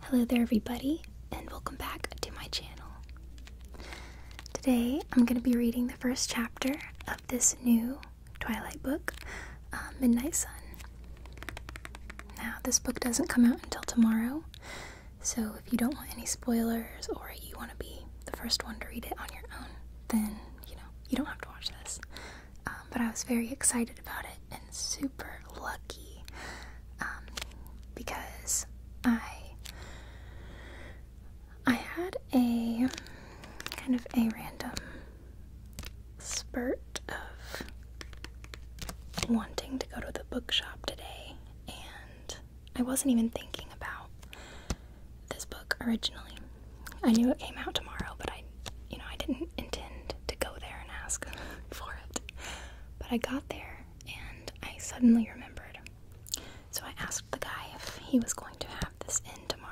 Hello there, everybody, and welcome back to my channel. Today, I'm going to be reading the first chapter of this new Twilight book, uh, Midnight Sun. Now, this book doesn't come out until tomorrow, so if you don't want any spoilers or you want to be the first one to read it on your own, then you know you don't have to watch this. Um, but I was very excited about it and super lucky um, because I I had a kind of a random spurt of wanting to go to the bookshop today, and I wasn't even thinking about this book originally. I knew it came out tomorrow, but I you know, I didn't intend to go there and ask for it. But I got there and I suddenly remembered. So I asked the guy if he was going to have this in tomorrow.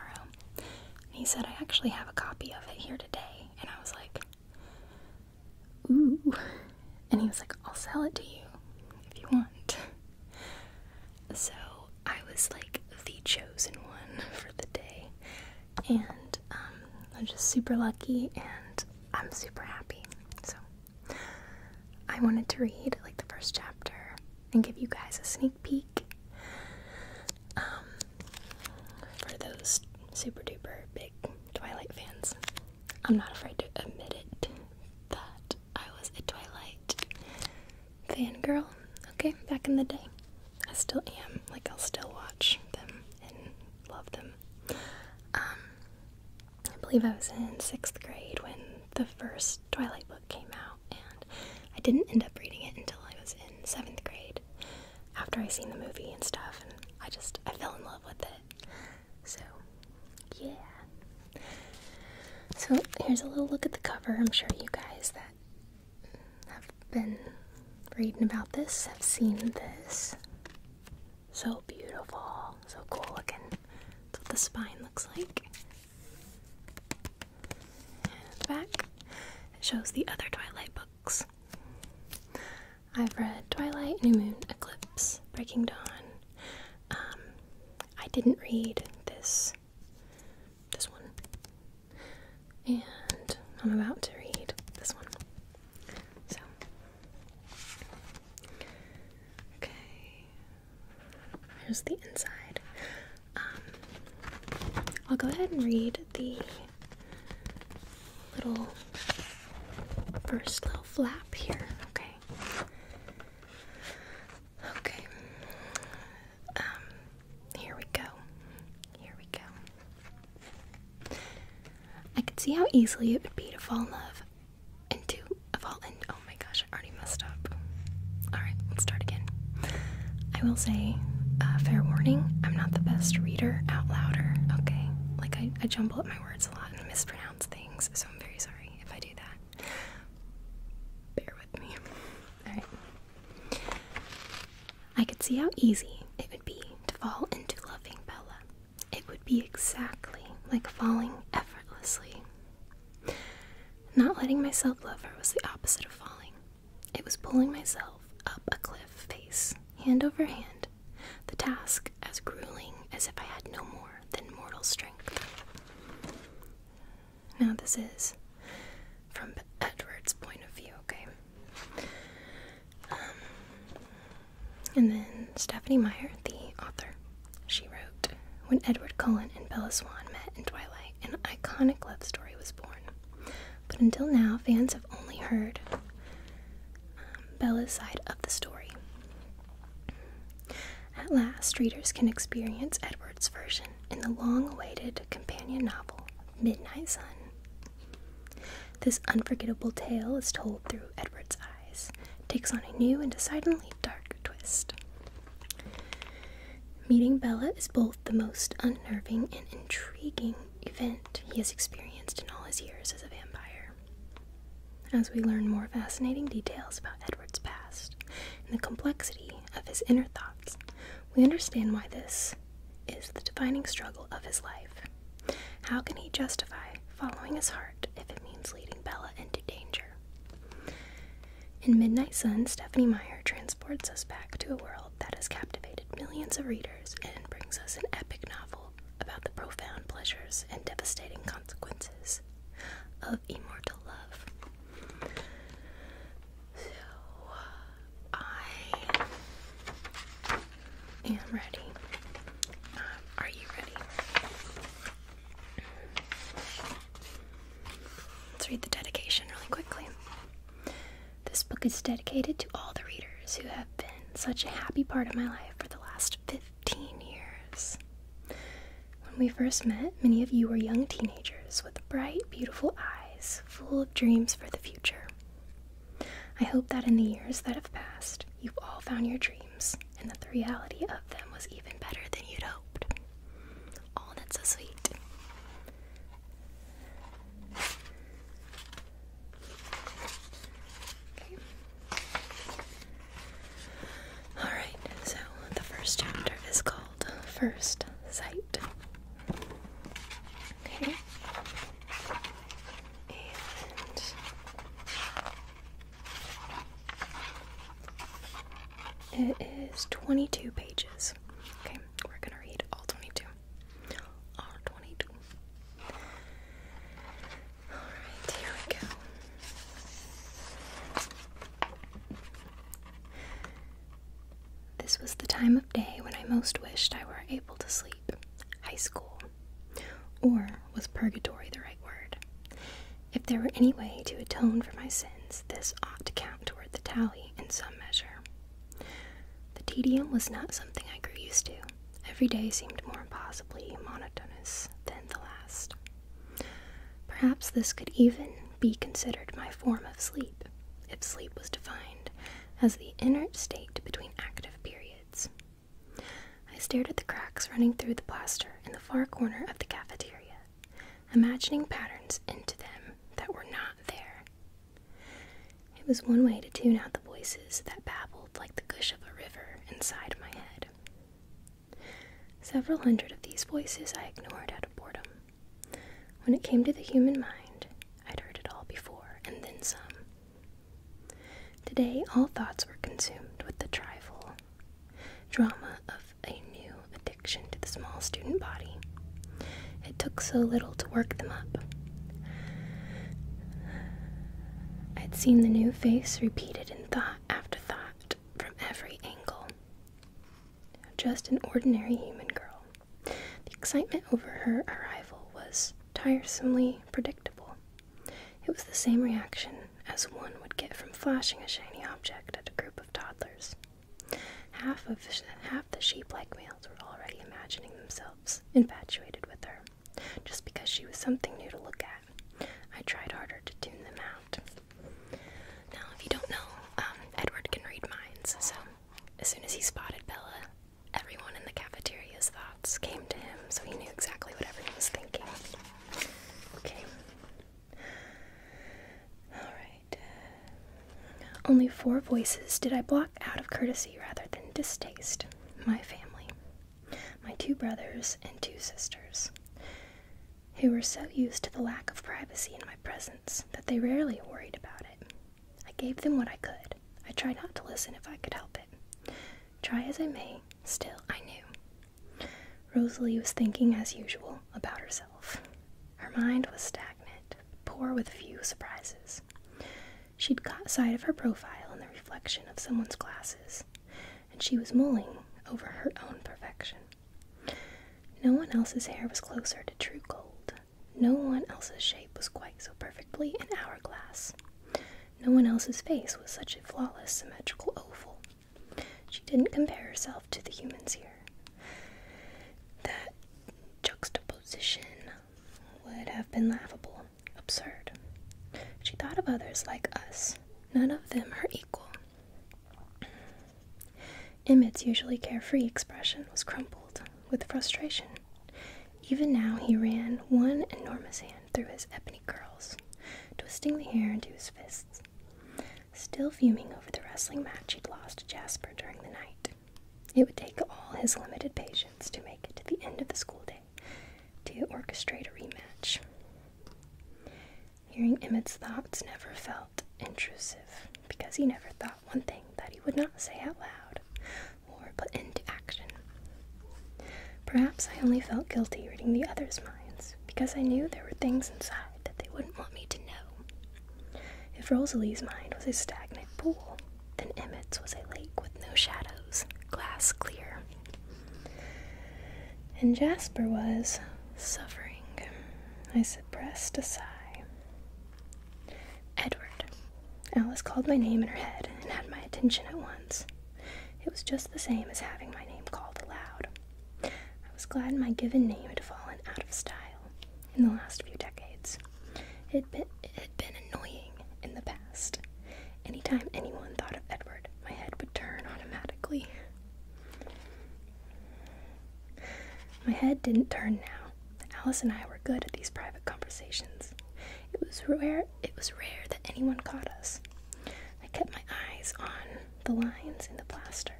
And he said, I actually have a copy of it here today. And I was like, ooh. And he was like, I'll sell it to you if you want. So I was like the chosen one for the day. And um, I'm just super lucky and I'm super happy. So I wanted to read like the first chapter and give you guys a sneak peek um, for those super duper big Twilight fans. I'm not afraid to admit it that I was a Twilight fangirl, okay, back in the day. I still am. Like, I'll still watch them love them. Um, I believe I was in sixth grade when the first Twilight book came out, and I didn't end up reading it until I was in seventh grade after I seen the movie and stuff, and I just I fell in love with it. So, yeah. So here's a little look at the cover. I'm sure you guys that I've been reading about this, I've seen this. So beautiful, so cool looking. That's what the spine looks like. And back, it shows the other Twilight books. I've read Twilight, New Moon, Eclipse, Breaking Dawn. Um, I didn't read this this one. And I'm about to read this one. So, okay, here's the inside. Um, I'll go ahead and read the little first little flap here. Okay. Okay. Um, here we go. Here we go. I could see how easily it would be to fall in love and to fall in. Oh my gosh, I already messed up. Alright, let's start again. I will say, uh, fair warning, I'm not the best reader out loud. okay? Like, I, I jumble up my words a lot and mispronounce things, so I'm very sorry if I do that. Bear with me. Alright. I could see how easy it would be to fall into loving Bella. It would be exactly like falling effortlessly. Not letting myself love her was the opposite of falling. It was pulling myself up a cliff face, hand over hand, the task as grueling as if I had no more than mortal strength. Now, this is from Edward's point of view, okay? Um, and then Stephanie Meyer, the author, she wrote When Edward Cullen and Bella Swan met in Twilight, an iconic love story was born. But until now, fans have only heard um, Bella's side of the story. At last, readers can experience Edward's version in the long awaited companion novel, Midnight Sun. This unforgettable tale is told through Edward's eyes, takes on a new and decidedly dark twist. Meeting Bella is both the most unnerving and intriguing event he has experienced in all his years as a vampire. As we learn more fascinating details about Edward's past and the complexity of his inner thoughts, we understand why this is the defining struggle of his life. How can he justify following his heart if it means leading Bella into danger? In Midnight Sun, Stephanie Meyer transports us back to a world that has captivated millions of readers and brings us an epic novel about the profound pleasures and devastating consequences of immortal love. I am ready. Um, are you ready? Let's read the dedication really quickly. This book is dedicated to all the readers who have been such a happy part of my life for the last 15 years. When we first met, many of you were young teenagers with bright, beautiful eyes, full of dreams for the future. I hope that in the years that have passed, you've all found your dreams and that the reality of them was even better than you'd hoped. Oh, that's so sweet. Alright, so the first chapter is called First Sight. Okay. And it is 22 pages. Okay, we're gonna read all 22. All 22. Alright, here we go. This was the time day when I most wished I were able to sleep, high school. Or was purgatory the right word? If there were any way to atone for my sins, this ought to count toward the tally in some measure. The tedium was not something I grew used to. Every day seemed more impossibly monotonous than the last. Perhaps this could even be considered my form of sleep, if sleep was defined as the inert state between active periods. I stared at the cracks running through the plaster in the far corner of the cafeteria, imagining patterns into them that were not there. It was one way to tune out the voices that babbled like the gush of a river inside my head. Several hundred of these voices I ignored out of boredom. When it came to the human mind, I'd heard it all before, and then some. Today, all thoughts were consumed with the trifle drama of a new addiction to the small student body. It took so little to work them up. I'd seen the new face repeated in thought after thought from every angle. Just an ordinary human girl. The excitement over her arrival was tiresomely predictable. It was the same reaction as one would get from flashing a shiny object at a group of toddlers. Half of half the sheep-like males were already imagining themselves infatuated with her, just because she was something new to look at. I tried harder to tune them out. Now, if you don't know, um, Edward can read minds, so as soon as he spotted Bella, Everyone in the cafeteria's thoughts came to him, so he knew exactly what everyone was thinking. Okay. Alright. Uh, only four voices did I block out of courtesy rather than distaste my family, my two brothers and two sisters, who were so used to the lack of privacy in my presence that they rarely worried about it. I gave them what I could. I tried not to listen if I could help it. Try as I may, still I knew. Rosalie was thinking, as usual, about herself. Her mind was stagnant, poor with few surprises. She'd caught sight of her profile in the reflection of someone's glasses, and she was mulling over her own perfection. No one else's hair was closer to true gold. No one else's shape was quite so perfectly an hourglass. No one else's face was such a flawless, symmetrical oval. She didn't compare herself to the humans here. That juxtaposition would have been laughable, absurd. She thought of others like us. None of them her equal. Emmett's usually carefree expression was crumpled with frustration. Even now he ran one enormous hand through his ebony curls, twisting the hair into his fists. Still fuming over the wrestling match he'd lost to Jasper during the night. It would take all his limited patience to make it to the end of the school day to orchestrate a rematch. Hearing Emmett's thoughts never felt intrusive because he never thought one thing that he would not say out loud, or put into action. Perhaps I only felt guilty reading the others' minds because I knew there were things inside that they wouldn't want me to know. If Rosalie's mind was a stagnant pool, then Emmett's was a lake with no shadows, glass clear. And Jasper was suffering. I suppressed a sigh. Edward. Alice called my name in her head and had my attention at once. It was just the same as having my name called aloud. I was glad my given name had fallen out of style in the last few decades. It had been, annoying in the past. Anytime anyone thought of Edward, my head would turn automatically. My head didn't turn now. Alice and I were good at these private conversations. It was rare it was rare that anyone caught us. I kept my eyes on the lines in the plaster.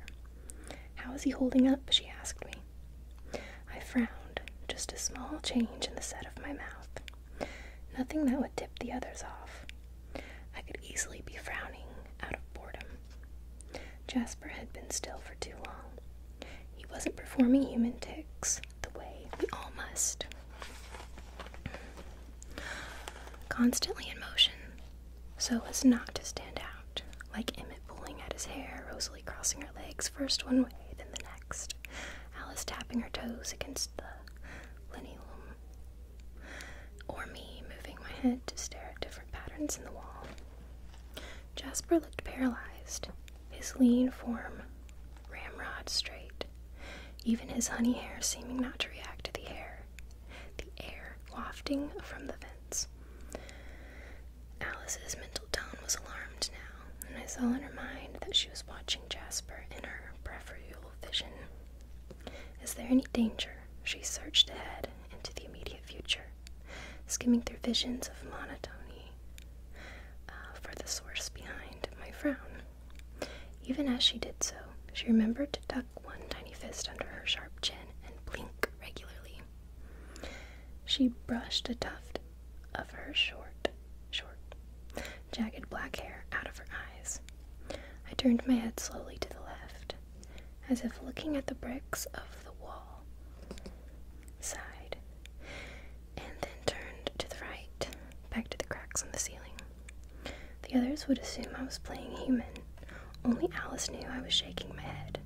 How is he holding up? she asked me. I frowned, just a small change in the set of my mouth. Nothing that would tip the others off. I could easily be frowning out of boredom. Jasper had been still for too long. He wasn't performing human ticks, the way we all must. Constantly in motion, so as not to stand out, like Emmet pulling at his hair, Rosalie crossing her legs first one way, then the next, Alice tapping her toes against the linoleum, or me moving my head to stare at different patterns in the wall. Jasper looked paralyzed, his lean form ramrod straight, even his honey hair seeming not to react to the air, the air wafting from the vents. Alice's mental tone was alarmed now, and I saw in her mind that she was watching Jasper in her peripheral vision. Is there any danger? She searched ahead into the immediate future, skimming through visions of monotony, uh, for the source behind my frown. Even as she did so, she remembered to tuck one tiny fist under her sharp chin and blink regularly. She brushed a tuft of her short, short, jagged black hair out of her eyes. I turned my head slowly to the left, as if looking at the bricks of the wall. Sighed and then turned to the right, back to the cracks in the ceiling. The others would assume I was playing human. Only Alice knew I was shaking my head.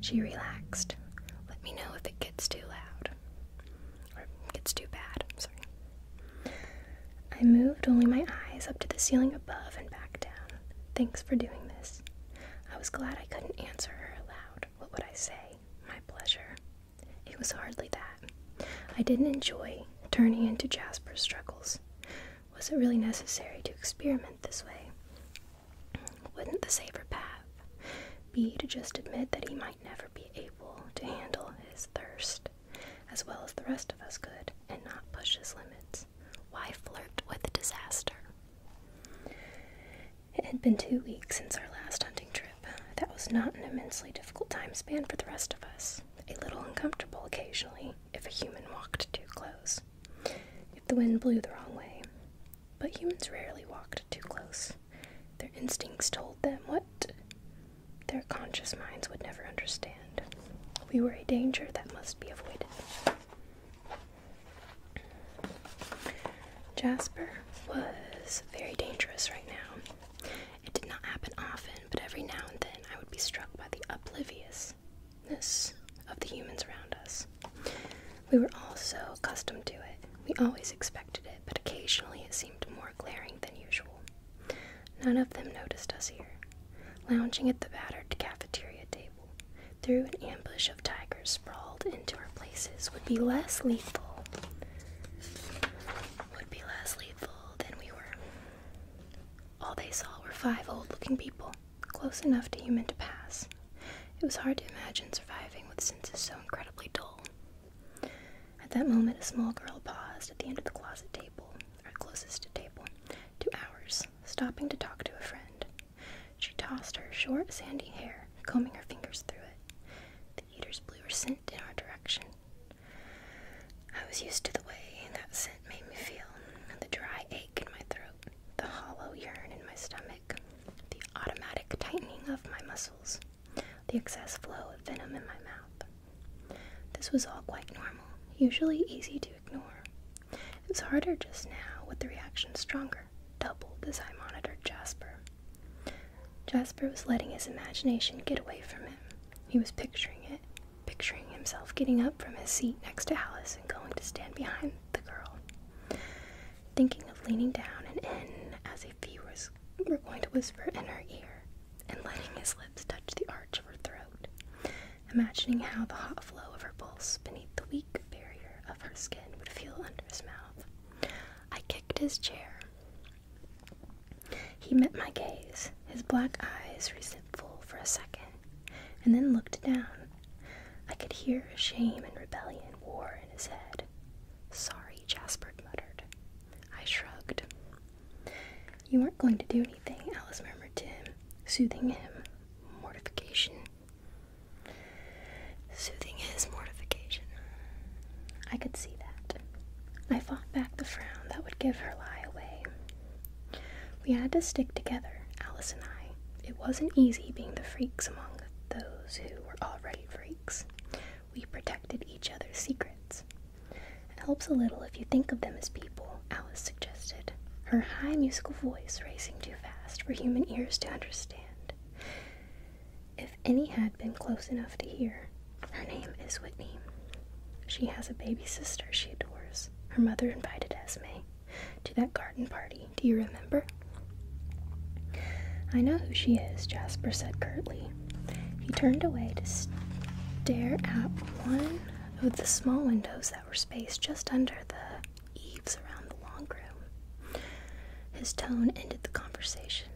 She relaxed. Let me know if it gets too loud. Or gets too bad, i sorry. I moved only my eyes up to the ceiling above and back down. Thanks for doing this. I was glad I couldn't answer her aloud. What would I say? My pleasure. It was hardly that. I didn't enjoy turning into Jasper's struggles. Was it really necessary to experiment this way? Wouldn't the safer path be to just admit that he might never be able to handle his thirst as well as the rest of us could and not push his limits? Why flirt with disaster? It had been two weeks since our last hunting trip that was not an immensely difficult time span for the rest of us, a little uncomfortable occasionally if a human walked too close, if the wind blew the wrong way. But humans rarely walked too close. Their instincts told them what their conscious minds would never understand. We were a danger that must be avoided. Jasper was very dangerous right now. It did not happen often, but every now and then I would be struck by the obliviousness of the humans around us. We were all so accustomed to it. We always expected it, but occasionally it seemed more glaring than usual. None of them noticed us here, lounging at the battered cafeteria table. Through an ambush of tigers sprawled into our places would be less lethal would be less lethal than we were. All they saw were five old looking people, close enough to human to pass. It was hard to imagine surviving with senses so incredibly dull. At that moment, a small girl paused at the end of the closet table, or closest table, to ours, stopping to talk to a friend. She tossed her short, sandy hair, combing her fingers through it. The eaters blew her scent in our direction, I was used to the way that scent made me feel the dry ache in my throat, the hollow yearn in my stomach, the automatic tightening of my muscles, the excess flow of venom in my mouth. This was all quite normal, usually easy to ignore. It was harder just now with the reaction stronger, doubled as I monitored Jasper. Jasper was letting his imagination get away from him. He was picturing it, picturing himself getting up from his seat next to Alice and going to stand behind the girl, thinking of leaning down and in as if he was, were going to whisper in her ear, and letting his lips touch the arch of her throat, imagining how the hot flow of her pulse beneath the weak barrier of her skin would feel under his mouth. I kicked his chair. He met my gaze, his black eyes resentful for a second, and then looked down. I could hear shame and rebellion war in his head. Sorry, Jasper muttered. I shrugged. You weren't going to do anything, Alice murmured to him, soothing him. Mortification. Soothing his mortification. I could see that. I fought back the frown that would give her lie away. We had to stick together, Alice and I. It wasn't easy being the freaks among those who were already freaks. We protected each other's secrets. It helps a little if you think of them as people, Alice suggested, her high musical voice racing too fast for human ears to understand if any had been close enough to hear. Her name is Whitney. She has a baby sister she adores. Her mother invited Esme to that garden party. Do you remember? I know who she is, Jasper said curtly. He turned away to stare at one of the small windows that were spaced just under the eaves around the long room. His tone ended the conversation.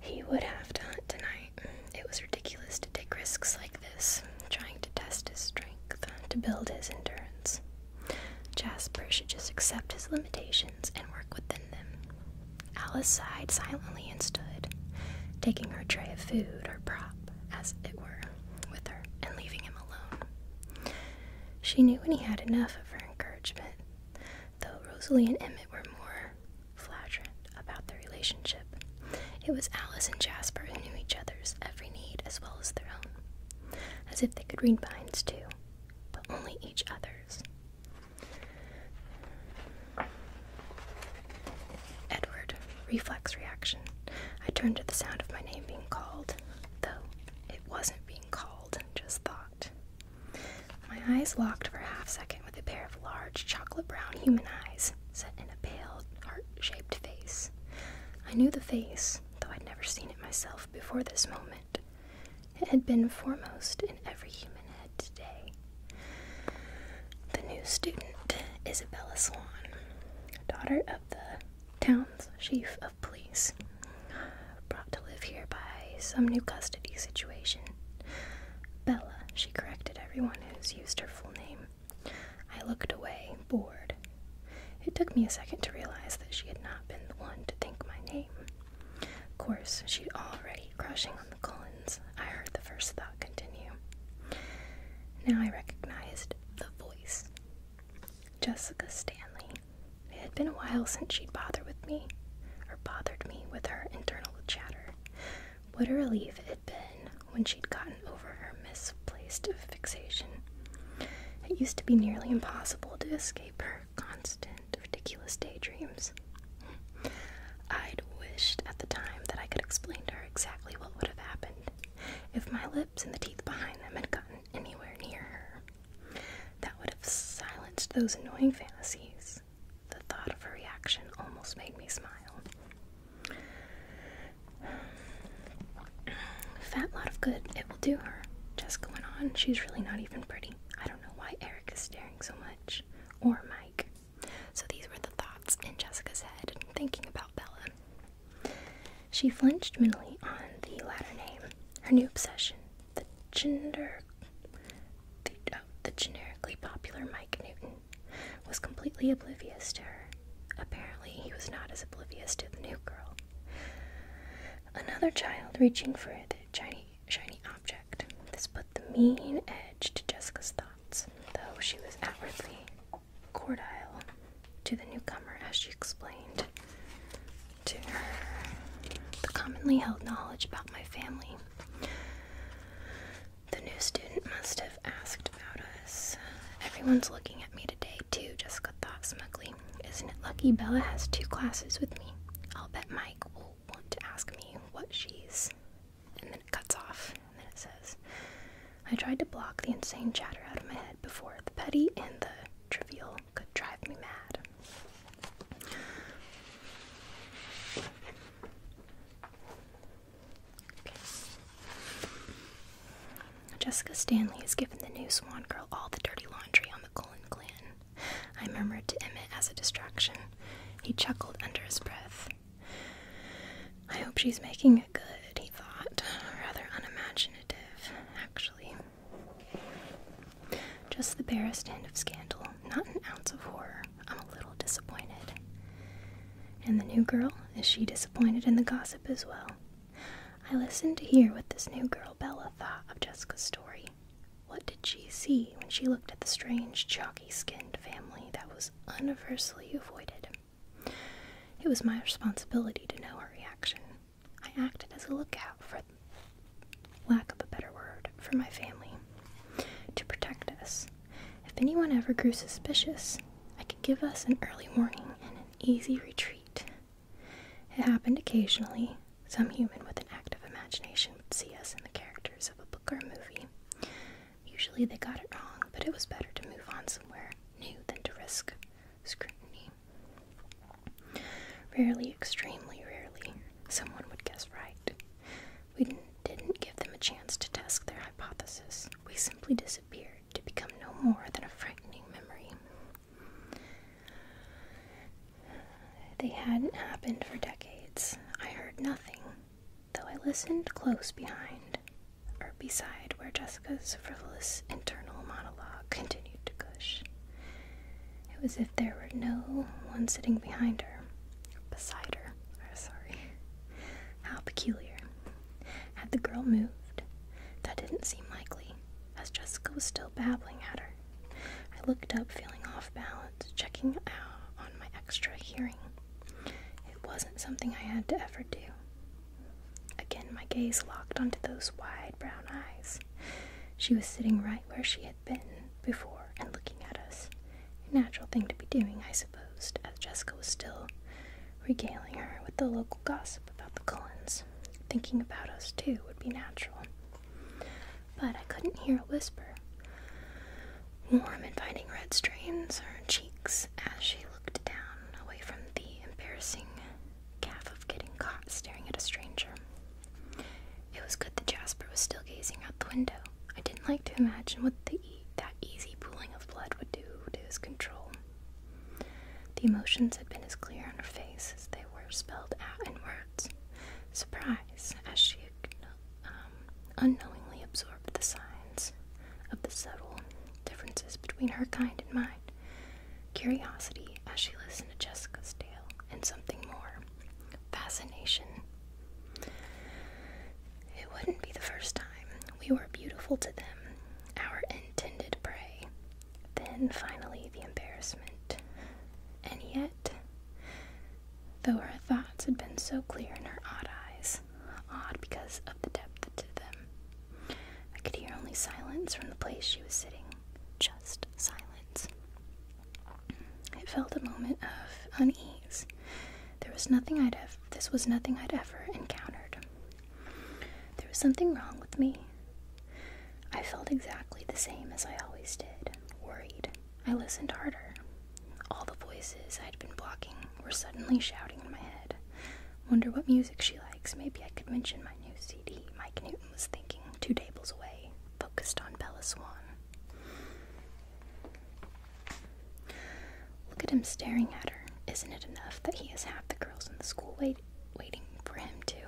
He would have to hunt tonight. It was ridiculous to take risks like this, trying to test his strength, to build his endurance. Jasper should just accept his limitations and work within them. Alice sighed silently and stood, taking her tray of food or prop, as it were, with her and leaving him alone. She knew when he had enough of her encouragement. Though Rosalie and Emmett were more flagrant about their relationship, it was Alice and Jasper who knew each other's every need as well as their own, as if they could read minds too, but only each other's. Edward, reflex reaction. I turned to the sound of my name being called, though it wasn't being called, just thought. My eyes locked for a half second with a pair of large chocolate brown human eyes set in a pale, heart shaped face. I knew the face, though I'd never seen it myself before this moment. It had been foremost in every human head today. The new student, Isabella Swan, daughter of the town's chief of police, brought to live here by some new custody situation. Bella, she corrected everyone who's used her full name. I looked away, bored. It took me a second to realize that she had not been the one to think my name. Of course, she'd already crushing on the Cullens. I heard the first thought continue. Now I recognized the voice. Jessica Stanley. It had been a while since she'd bothered with me, or bothered me with her internal chatter. What a relief it had been when she'd gotten over her misplaced fixation. It used to be nearly impossible to escape her constant, ridiculous daydreams. I'd wished at the time that I could explain to her exactly what would have happened if my lips and the teeth behind them had gotten anywhere near her. That would have silenced those annoying fantasies. The thought of her reaction almost made me smile. Fat lot of good it will do her. Jessica went on, she's really not even pretty. I don't know why Eric is staring so much. Or Mike. So these were the thoughts in Jessica's head, thinking about Bella. She flinched mentally on the latter name. Her new obsession, the gender the, generically popular Mike Newton was completely oblivious to her. Apparently, he was not as oblivious to the new girl. Another child reaching for the shiny, shiny object. This put the mean edge to Jessica's thoughts, though she was outwardly cordial to the newcomer as she explained to her the commonly held knowledge about my family the new student must have asked about us. Everyone's looking at me today, too, Jessica thought smugly. Isn't it lucky Bella has two classes with me? I'll bet Mike will want to ask me what she's. And then it cuts off, and then it says, I tried to block the insane chatter out of my head before the petty and the trivial could drive me mad. Jessica Stanley has given the new Swan Girl all the dirty laundry on the Cullen clan. I murmured to Emmett as a distraction. He chuckled under his breath. I hope she's making it good, he thought. Rather unimaginative, actually. Just the barest hint of scandal, not an ounce of horror. I'm a little disappointed. And the new girl, is she disappointed in the gossip as well? I listened to hear what this new girl, Bella, thought of Jessica's story. What did she see when she looked at the strange, chalky skinned family that was universally avoided? It was my responsibility to know her reaction. I acted as a lookout for lack of a better word, for my family to protect us. If anyone ever grew suspicious, I could give us an early warning and an easy retreat. It happened occasionally. Some human with an active imagination would see us in the characters of a book or a movie. Usually they got it wrong, but it was better to move on somewhere new than to risk scrutiny. Rarely, extremely rarely, someone would guess right. We didn't give them a chance to test their hypothesis. We simply disappeared to become no more than a frightening memory. They hadn't happened for decades. I heard nothing, though I listened close behind, or beside where Jessica's frivolous internal monologue continued to gush. It was as if there were no one sitting behind her beside her. sorry. How peculiar. Had the girl moved? That didn't seem likely, as Jessica was still babbling at her. I looked up, feeling off balance, checking out on my extra hearing. It wasn't something I had to ever do. Again, my gaze locked onto those wide brown eyes. She was sitting right where she had been before and looking at us. natural thing to be doing, I supposed, as Jessica was still regaling her with the local gossip about the Cullens. Thinking about us, too, would be natural. But I couldn't hear a whisper. Warm, inviting red stains her cheeks as she looked down, away from the embarrassing calf of getting caught staring at a stranger. It was good that Jasper was still gazing out the window. I didn't like to imagine what that easy pooling of blood would do to his control. The emotions had been as clear on her face as they were spelled out in words. Surprise, as she um, unknowingly absorbed the signs of the subtle differences between her kind and mine. Curiosity, as she listened to Jessica's tale, and something more. Fascination, it wouldn't be the first time. We were beautiful to them, our intended prey. Then finally the embarrassment. And yet, though her thoughts had been so clear in her odd eyes, odd because of the depth to them, I could hear only silence from the place she was sitting. Just silence. I felt a moment of unease. There was nothing I'd this was nothing I'd ever encountered. There was something wrong with me. I felt exactly the same as I always did, worried. I listened harder. All the voices I'd been blocking were suddenly shouting in my head. Wonder what music she likes. Maybe I could mention my new CD. Mike Newton was thinking, two tables away, focused on Bella Swan. Look at him staring at her. Isn't it enough that he has half the girls in the school wait waiting for him too?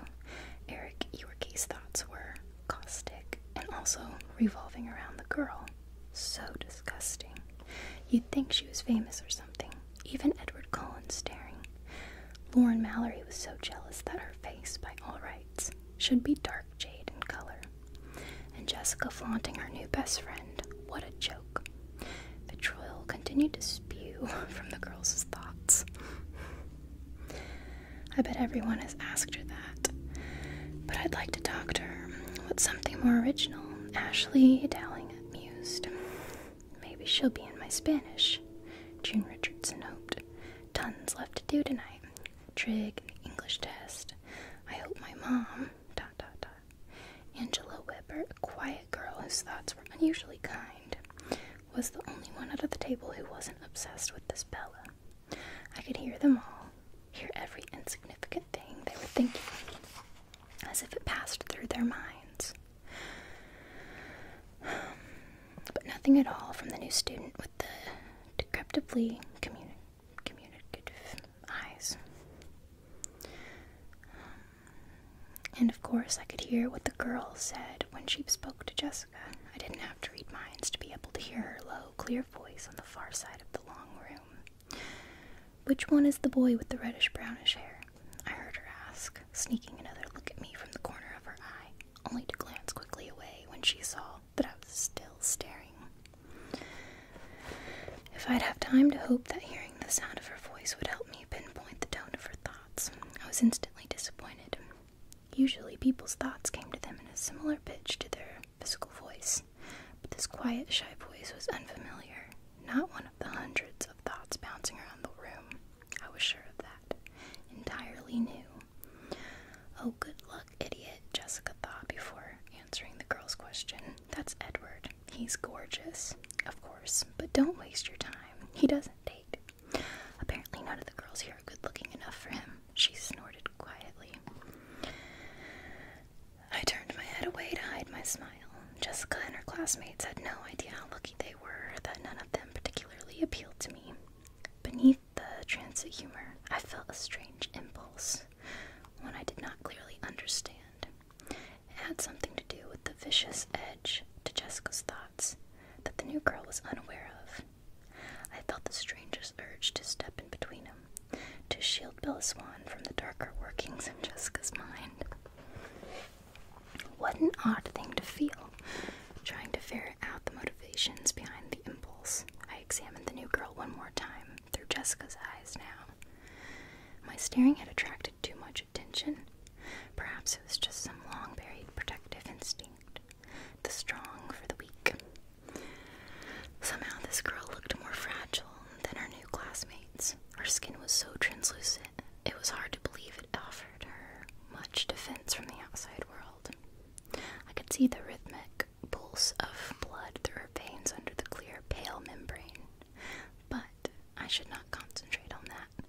Eric your case thoughts were caustic and also revolving around the girl. So disgusting. You'd think she was famous or something. Even Edward Cullen staring. Lauren Mallory was so jealous that her face, by all rights, should be dark jade in color and Jessica flaunting her new best friend. What a joke. Vitriol continued to spew from the girls' thoughts. I bet everyone has asked her that. But I'd like to talk to her. What's something more original? Ashley Dowling mused. Maybe she'll be in my Spanish, June Richardson hoped. Tons left to do tonight trig, English test. I hope my mom, dot dot dot. Angela Weber, a quiet girl whose thoughts were unusually kind, was the only one out of the table who wasn't obsessed with this Bella. I could hear them all, hear every insignificant thing they were thinking, as if it passed through their minds. But nothing at all from the new student with the deceptively communicative eyes. Um, and of course, I could hear what the girl said when she spoke to Jessica. I didn't have to read minds to be able to hear her low, clear voice on the far side of the long room. Which one is the boy with the reddish brownish hair? I heard her ask, sneaking another look at me from the corner of her eye, only to glance quickly away when she saw but I was still staring. If I'd have time to hope that hearing the sound of her voice would help me pinpoint the tone of her thoughts, I was instantly disappointed. Usually, people's thoughts came to them in a similar pitch to their physical voice, but this quiet, shy voice was unfamiliar, not one of the hundreds of thoughts bouncing around the room. I was sure of that. Entirely new. Oh, good luck, idiot, Jessica thought before answering the girl's question. That's Edward. He's gorgeous, of course, but don't waste your time. He doesn't date. Apparently, none of the girls here are good looking enough for him. She snorted quietly. I turned my head away to hide my smile. Jessica and her classmates had no idea how lucky they were that none of them particularly appealed to me. Beneath the transit humor, I felt a strange impulse sentence, one I did not clearly understand. It had something to do with the vicious edge to Jessica's thoughts that the new girl was unaware of. I felt the strangest urge to step in between them, to shield Swan from the darker workings in Jessica's mind. What an odd thing to feel, trying to ferret out the motivations behind the impulse. I examined the new girl one more time, through Jessica's eyes now. My staring had attracted too much attention. Perhaps it was just some long buried protective instinct the strong for the weak. Somehow, this girl looked more fragile than her new classmates. Her skin was so translucent, it was hard to believe it offered her much defense from the outside world. I could see the rhythmic pulse of blood through her veins under the clear, pale membrane. But I should not concentrate on that.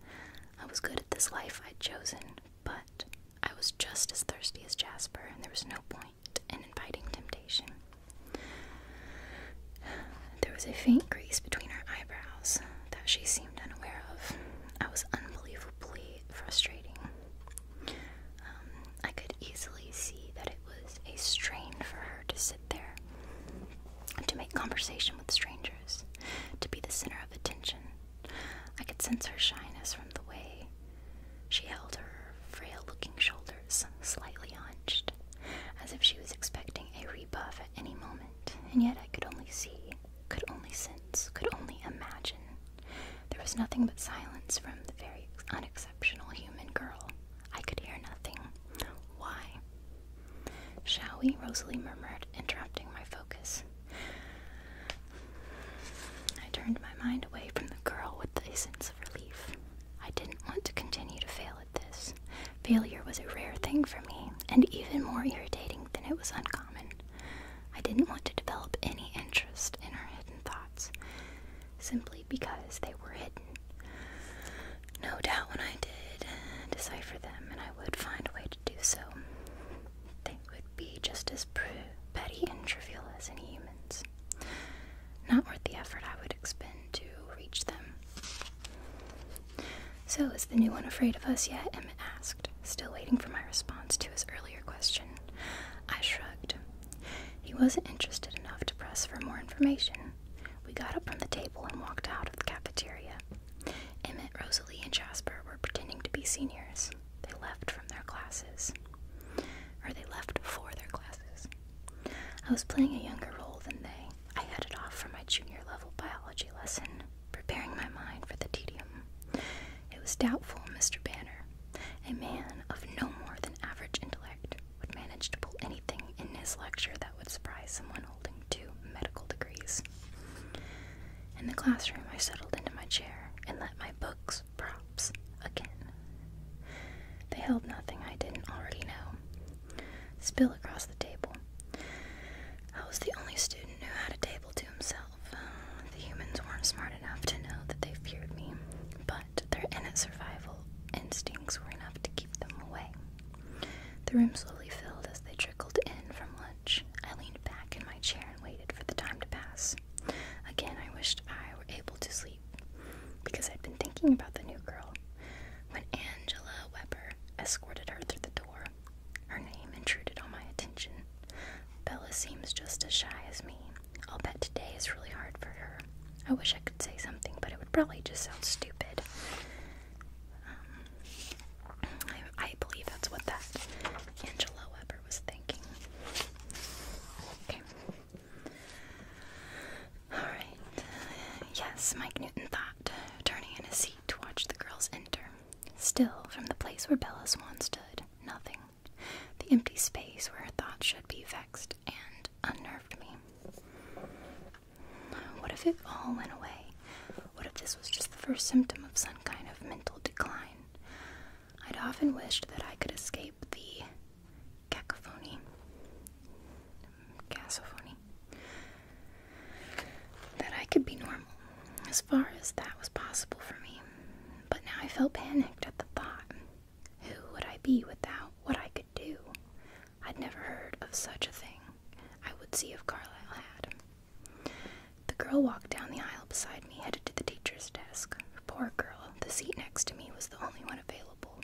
I was good at this life I'd chosen, but I was just as thirsty as Jasper, and there was no point in inviting temptation. There was a faint crease between her eyebrows that she seemed unaware of. I was unbelievably frustrating. Um, I could easily see that it was a strain for her to sit there, to make conversation with strangers, to be the center of attention. I could sense her shyness from the way she held her frail looking shoulders slightly hunched, as if she was expecting a rebuff at any moment, and yet I could only see, could only sense, could only imagine there was nothing but silence from the very unexceptional human girl. I could hear nothing. Why? Shall we? Rosalie murmured, interrupting my focus. I turned my mind away from the girl with a sense of relief. I didn't want to continue to fail at this. Failure was a rare thing for me, and even more irritating than it was uncommon. I didn't want to develop any interest in her hidden thoughts. Simply because they were hidden. No doubt when I did decipher them, and I would find a way to do so, they would be just as petty and trivial as any humans. Not worth the effort I would expend to reach them. So, is the new one afraid of us yet? Emmett asked, still waiting for my response to his earlier question. I shrugged. He wasn't interested enough to press for more information. We got up from the table and walked out of the cafeteria. Emmett, Rosalie, and Jasper were pretending to be seniors. They left from their classes. Or they left for their classes. I was playing a younger role than they. I headed off for my junior level biology lesson, preparing my mind for the tedium. It was doubtful Mr. Banner, a man of no more than average intellect would manage to pull anything in his lecture that would surprise someone holding two medical degrees. In the classroom, I settled into my chair and let my books props again. They held nothing I didn't already know. Spill across the table. I was the only student who had a table to himself. Um, the humans weren't smart enough to know that they feared me, but their innate survival instincts were enough to keep them away. The room slowly filled as they trickled in from lunch. I leaned back in my chair and waited for the time to pass. Again, I wished I were able to sleep because I'd been thinking about the new girl when Angela Weber escorted her through the door. Her name intruded on my attention. Bella seems just as shy as me, I'll bet today is really hard for her. I wish I could say something, but it would probably just sound stupid. Um, I, believe that's what that Angela Weber was thinking. Okay. Alright. Yes, Mike Newton thought, turning in his seat to watch the girls enter. Still, from the place where Bella Swan stood, nothing. The empty space where her thoughts should be vexed and unnerved me. What if it all went away? What if this was just the first symptom of some kind of mental decline? I'd often wished that I could escape the cacophony. Cacophony. That I could be normal, as far as that was possible for me. But now I felt panicked at the thought who would I be without what I could do? I'd never heard of such a thing. I would see if Carlyle had. The girl walked down the aisle beside me, headed to the teacher's desk. Poor girl, the seat next to me was the only one available.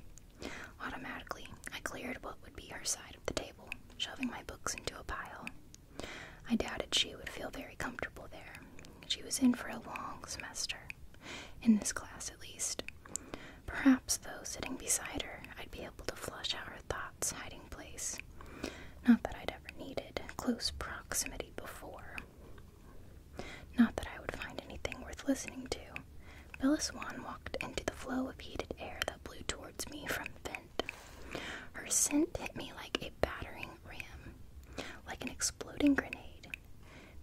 Automatically, I cleared what would be her side of the table, shoving my books into a pile. I doubted she would feel very comfortable there. She was in for a long semester in this class at least. Perhaps, though, sitting beside her, I'd be able to flush out her thoughts' hiding place. Not that I'd ever needed close proximity before. Not that I would find anything worth listening to. Bella walked into the flow of heated air that blew towards me from the vent. Her scent hit me like a battering ram, like an exploding grenade.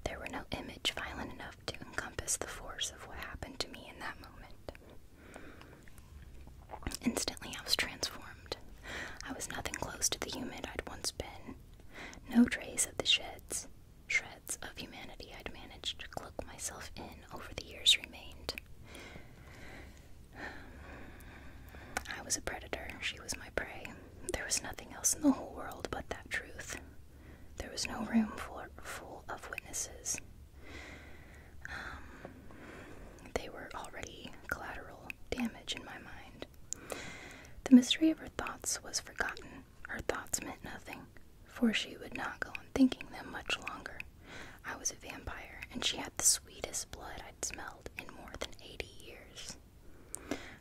There were no image violent enough to encompass the force of what happened to me in that moment. Instantly, I was transformed. I was nothing close to the human I'd once been. No trace of the sheds, shreds of humanity I'd managed to cloak myself in over the years remained. I was a predator, she was my prey. There was nothing else in the whole world but that truth. There was no room for, full of witnesses. Um, they were already collateral damage in my mind. The mystery of her thoughts was forgotten. Her thoughts meant nothing, for she would not go on thinking them much longer. I was a vampire, and she had the sweetest blood I'd smelled in more than eighty years.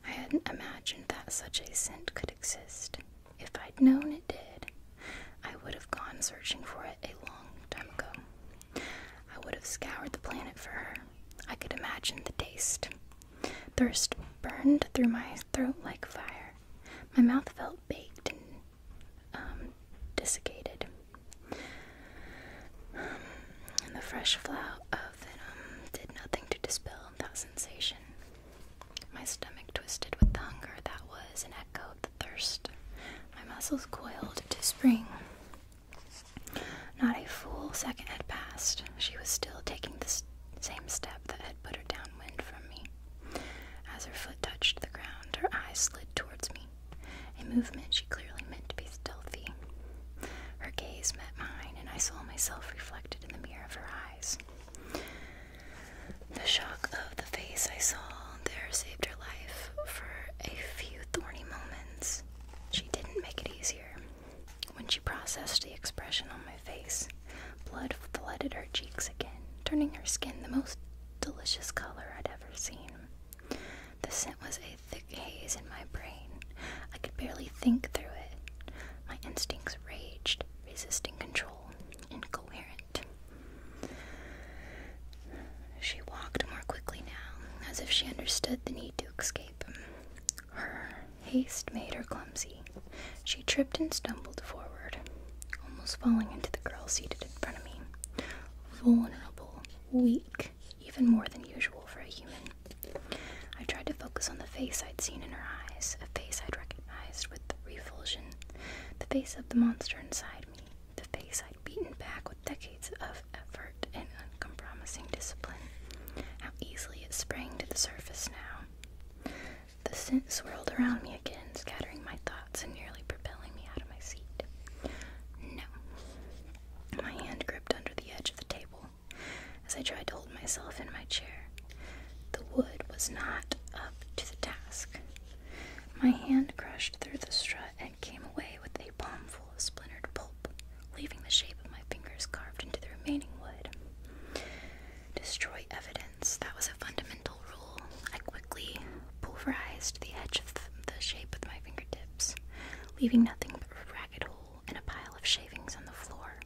I hadn't imagined that such a scent could exist. If I'd known it did, I would have gone searching for it a long time ago. I would have scoured the planet for her. I could imagine the taste. Thirst burned through my throat like fire. My mouth felt baked and um, desiccated. and the fresh flow of venom did nothing to dispel that sensation. My stomach twisted with the hunger that was and echoed the thirst. My muscles coiled to spring. Not a full second had passed. She was still taking the same step that had put her downwind from me. As her foot touched the ground, her eyes slid towards me. A movement she clearly meant to be stealthy. Her gaze met mine, and I saw myself reflected in the mirror of her eyes. The shock of the face I saw there saved her life for a few thorny moments. She didn't make it easier. When she processed the expression on my face, blood flooded her cheeks again, turning her skin the most delicious color I'd ever seen. The scent was a thick haze in my brain. I could barely think through it. My instincts raged, resisting control, incoherent. She walked more quickly now, as if she understood the need to escape. Her haste made her clumsy. She tripped and stumbled forward, almost falling into the girl seated in front of me. Vulnerable, weak, even more than usual for a human. I tried to focus on the face I'd seen in her eyes, a face I'd recognized with revulsion, the face of the monster inside me, the face I'd beaten back with decades of effort and uncompromising discipline. How easily it sprang to the surface now. The scent swirled around me again, scattering my thoughts and nearly propelling me out of my seat. No. My hand gripped under the edge of the table, as I tried to hold myself in my chair. The wood was not up to the task. My hand crushed through the strut and came away with a palmful of splintered pulp, leaving the shape of my fingers carved into the remaining wood. Destroy evidence. That was a fundamental rule. I quickly pulverized the edge of the shape with my fingertips, leaving nothing but a ragged hole and a pile of shavings on the floor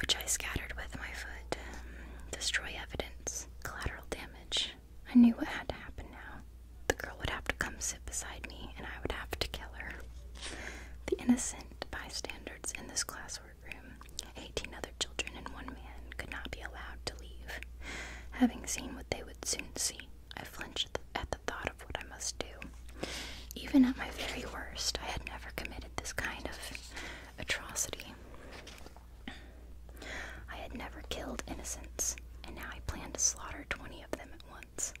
which I scattered with my foot, um, destroy evidence, collateral damage. I knew what had to happen now. The girl would have to come sit beside me, and I would have to kill her. The innocent bystanders in this classroom 18 other children and one man, could not be allowed to leave. Having seen what they would soon see, I flinched at the thought of what I must do. Even at my very worst, I had never committed this kind of atrocity. I had never killed innocents, and now I planned to slaughter 20 of them at once.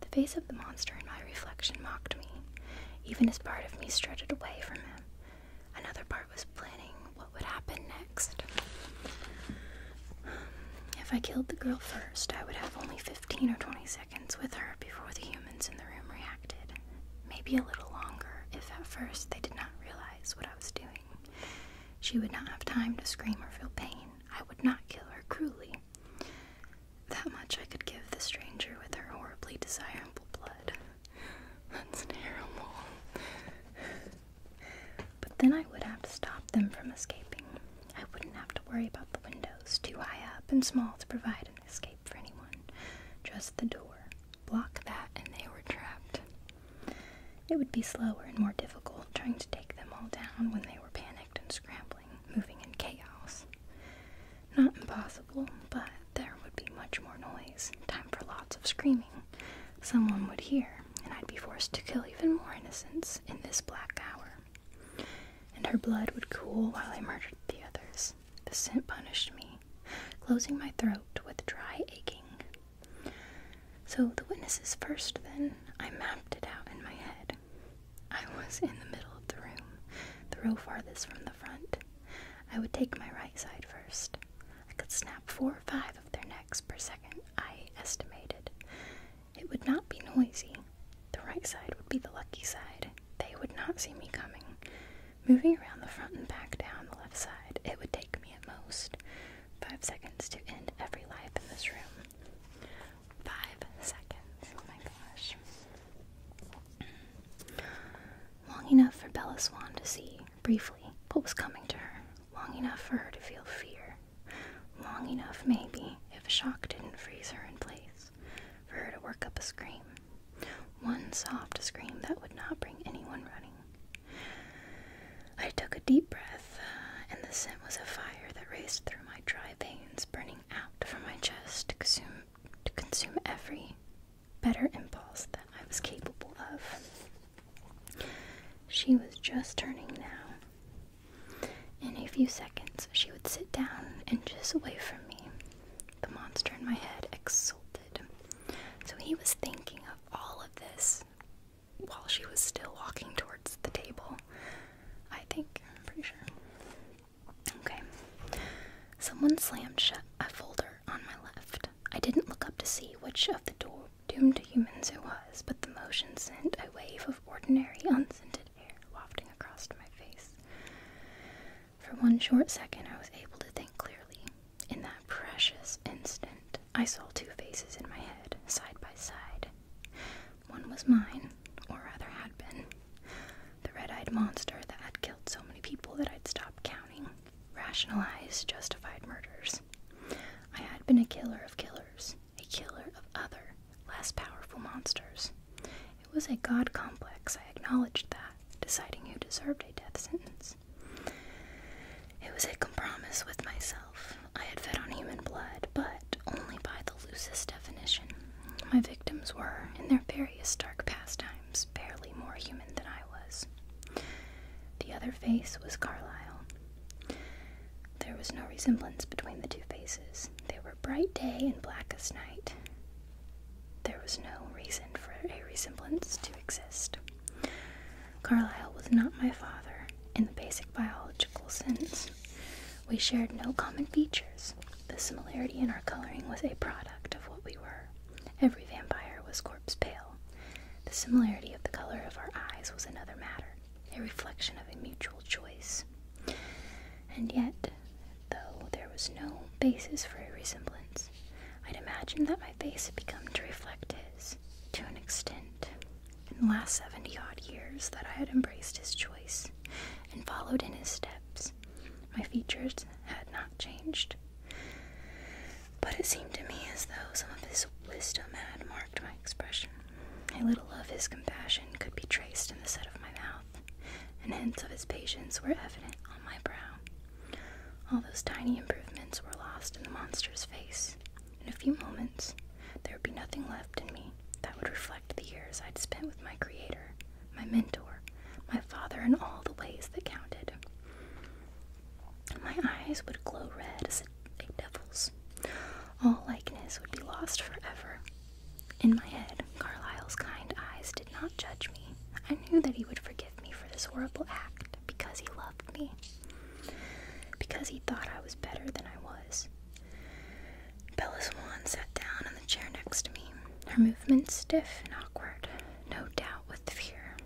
The face of the monster in my reflection mocked me. Even as part of me strutted away from him, another part was planning what would happen next. If I killed the girl first, I would have only 15 or 20 seconds with her before the humans in the room reacted. Maybe a little longer if at first they did not realize what I was doing. She would not have time to scream or feel pain. I would not kill her cruelly. That much I could give the stranger with her horribly desirable blood. That's terrible. But then I would have to stop them from escaping. I wouldn't have to worry about the windows too high up and small to provide escape for anyone. Just the door. Block that, and they were trapped. It would be slower and more difficult trying to take them all down when they were panicked and scrambling, moving in chaos. Not impossible, but there would be much more noise, time for lots of screaming. Someone would hear, and I'd be forced to kill even more innocents in this black hour. And her blood would cool while I murdered the others. The scent punished me, closing my throat with dry aching. So, the witnesses first, then, I mapped it out in my head. I was in the middle of the room, the row farthest from the front. I would take my right side first. I could snap four or five of their necks per second, I estimated. It would not be noisy. The right side would be the lucky side, they would not see me coming. Moving around the front and back down the left side, it would take me at most five seconds to end every life in this room. Five seconds. Oh my gosh. Long enough for Bella Swan to see, briefly, what was coming to her. Long enough for her to feel fear. Long enough, maybe, if shock didn't freeze her in place for her to work up a scream. One soft scream that would not bring anyone running. I took a deep breath, uh, and the scent was a fire that raced through my dry veins, burning out from my chest to consume, to consume every better impulse that I was capable of. She was just turning now. In a few seconds, she would sit down and just away from me, the monster in my head exulted. So he was thinking of all of this while she was still walking towards the table. I think, I'm pretty sure. Okay. Someone slammed shut a folder on my left. I didn't look up to see which of the doomed humans it was, but the motion sent a wave of ordinary, unscented air wafting across my face. For one short second, I was able to think clearly. In that precious instant, I saw two faces in my head, side by side. One was mine, or rather had been. The red eyed monster that had killed so many people that I'd stopped counting, rationalized, justified murders. I had been a killer of killers, a killer of other, less powerful monsters, it was a god complex, I acknowledged that, deciding who deserved a death sentence. It was a compromise with myself. I had fed on human blood, but only by the loosest definition. My victims were, in their various dark pastimes, barely more human than I was. The other face was Carlyle. There was no resemblance between the two faces. They were bright day and black as night. There was no reason for a resemblance to exist. Carlyle was not my father in the basic biological sense. We shared no common features. The similarity in our coloring was a product of what we were. Every vampire was corpse pale. The similarity of the color of our eyes was another matter, a reflection of a mutual choice. And yet, though there was no basis for a resemblance. I'd imagined that my face had become to reflect his, to an extent, in the last seventy odd years that I had embraced his choice and followed in his steps. My features had not changed. But it seemed to me as though some of his wisdom had marked my expression. A little of his compassion could be traced in the set of my mouth, and hints of his patience were evident on my brow. All those tiny improvements were lost in the monster's face. In a few moments, there would be nothing left in me that would reflect the years I'd spent with my creator, my mentor, my father, and all the ways that counted. My eyes would glow red as a devil's. All likeness would be lost forever. In my head, Carlyle's kind eyes did not judge me. I knew that he would forgive me for this horrible act because he loved me, because he thought I was better than I was. Bella Swan sat down on the chair next to me, her movement stiff and awkward, no doubt with fear.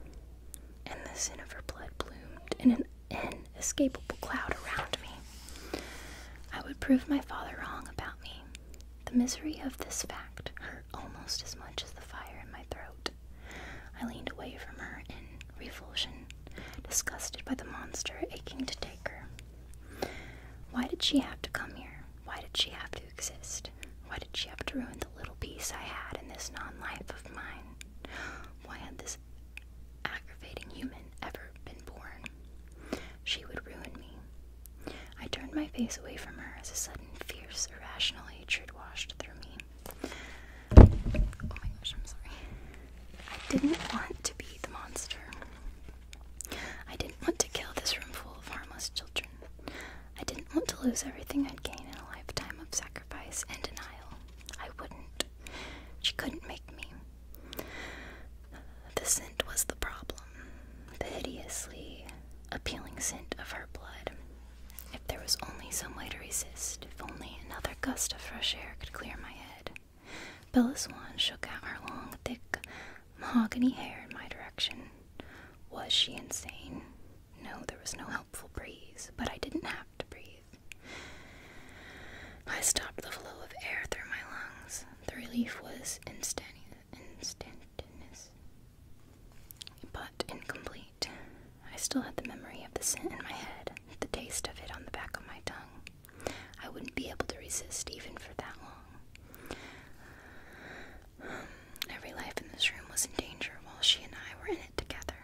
And the sin of her blood bloomed in an inescapable cloud around me. I would prove my father wrong about me, the misery of this fact hurt almost as much as the fire in my throat. I leaned away from her in revulsion, disgusted by the monster aching to take her. Why did she have to come here? Why did she have to exist? Why did she have to ruin the little peace I had in this non life of mine? Why had this aggravating human ever been born? She would ruin me. I turned my face away from her as a sudden fierce, irrational hatred washed through me. Oh my gosh, I'm sorry. I didn't want to be the monster. I didn't want to kill this room full of harmless children. I didn't want to lose everything I'd gained in a lifetime of sacrifice and denial. I wouldn't. She couldn't make me. The scent was the problem the hideously appealing scent of her blood. If there was only some way to resist, if only another gust of fresh air could clear my head. Bella Swan shook out her long, thick mahogany hair in my direction. Was she insane? No, there was no helpful breeze, but I didn't have to breathe. I stopped the flow of air through my lungs. The relief was instantaneous. instantaneous but incomplete. I still had the memory of the scent in my head, the taste of it on the back of my tongue. I wouldn't be able to resist even for that long. Every life in this room was in danger while she and I were in it together.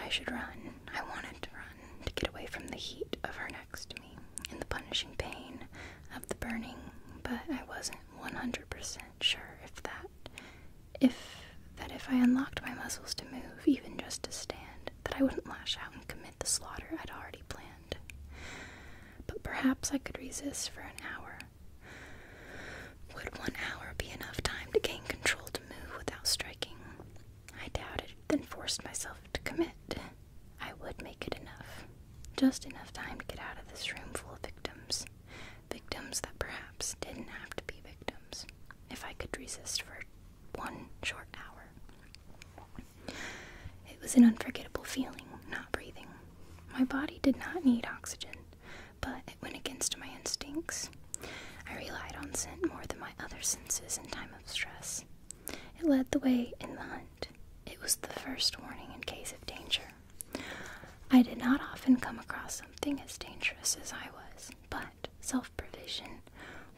I should run. I wanted to run to get away from the heat of her next to me and the punishing pain of the burning, but I wasn't 100% sure if that if that if I unlocked my muscles to move, even just to stand, that I wouldn't lash out and commit the slaughter I'd already planned. But perhaps I could resist for an hour. Would one hour be enough time to gain control to move without striking? I doubted, then forced myself to commit. I would make it enough. Just enough time to get out of this room full of victims victims that perhaps didn't have to be victims, if I could resist for one short hour. It was an unforgettable feeling, not breathing. My body did not need oxygen, but it went against my instincts. I relied on scent more than my other senses in time of stress. It led the way in the hunt. It was the first warning in case of danger. I did not often come across something as dangerous as I was, but self provision